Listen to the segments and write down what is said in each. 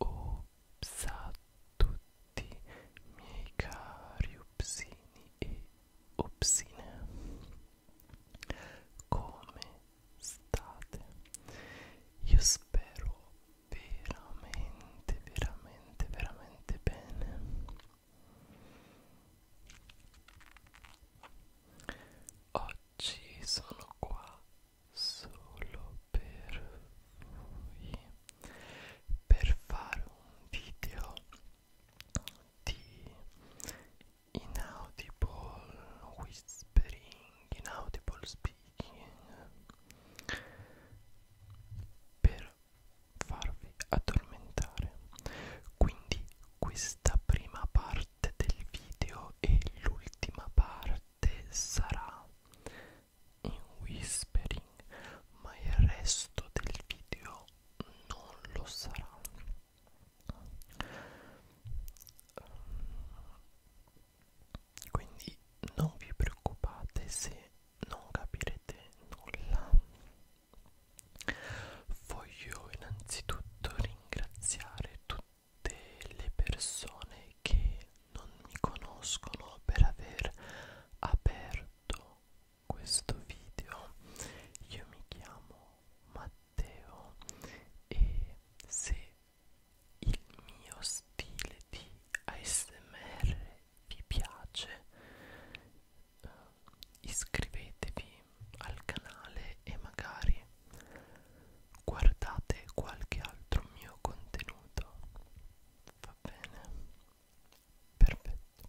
Ops a tutti miei cari opsini e opsine Come state? Io spero veramente veramente veramente bene oggi sono qua solo per voi per fare un video di inaudible whispering inaudible speaking per farvi addormentare quindi questa prima parte del video e l'ultima parte sarà in whispering ma il resto del video non lo sarà quindi non vi preoccupate se non capirete nulla. Voglio innanzitutto ringraziare tutte le persone che non mi conoscono per aver aperto questo video. Io mi chiamo Matteo e se il mio stile di ASMR vi piace eh, iscrivetevi al canale e magari guardate qualche altro mio contenuto va bene perfetto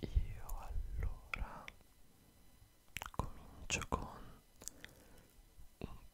io allora comincio con un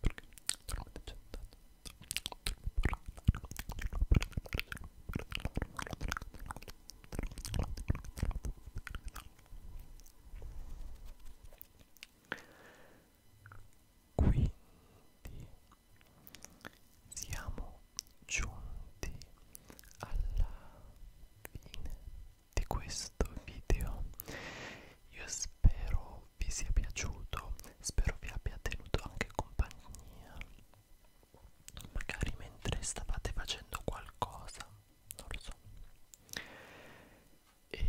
perché sono decentato quindi siamo giunti alla fine di questo video io spero vi sia piaciuto spero vi abbia tenuto anche compagnia magari mentre stavate facendo qualcosa non lo so e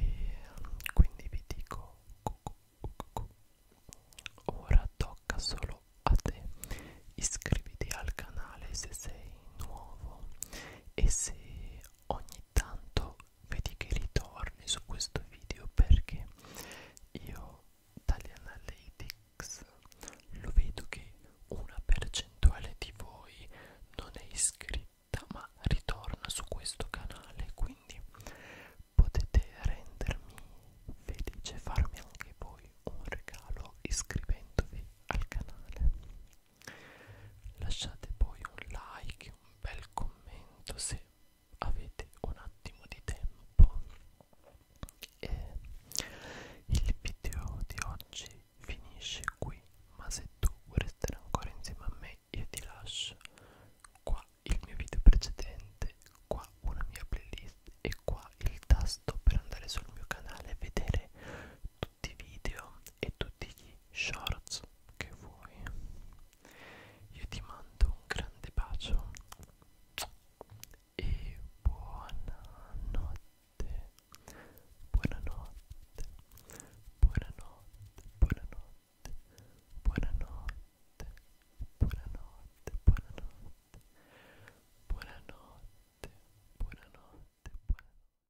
quindi vi dico cucu, cucu. ora tocca solo a te iscriviti al canale se sei nuovo e se ogni tanto vedi che ritorni su questo video perché io dagli analytics lo vedo che una percentuale di voi non è iscritta ma ritorna su questo canale quindi potete rendermi felice farmi anche voi un regalo iscrivendovi al canale lasciate poi un like e un bel commento se avete un attimo di tempo e il video di oggi finisce qui ma se tu vuoi restare ancora insieme a me io ti lascio qua il mio video precedente qua una mia playlist e qua il tasto per andare sul mio canale e vedere tutti i video e tutti gli shorts che vuoi io ti mando un grande bacio e buonanotte buonanotte buonanotte buonanotte buonanotte buonanotte buonanotte buonanotte buonanotte buonanotte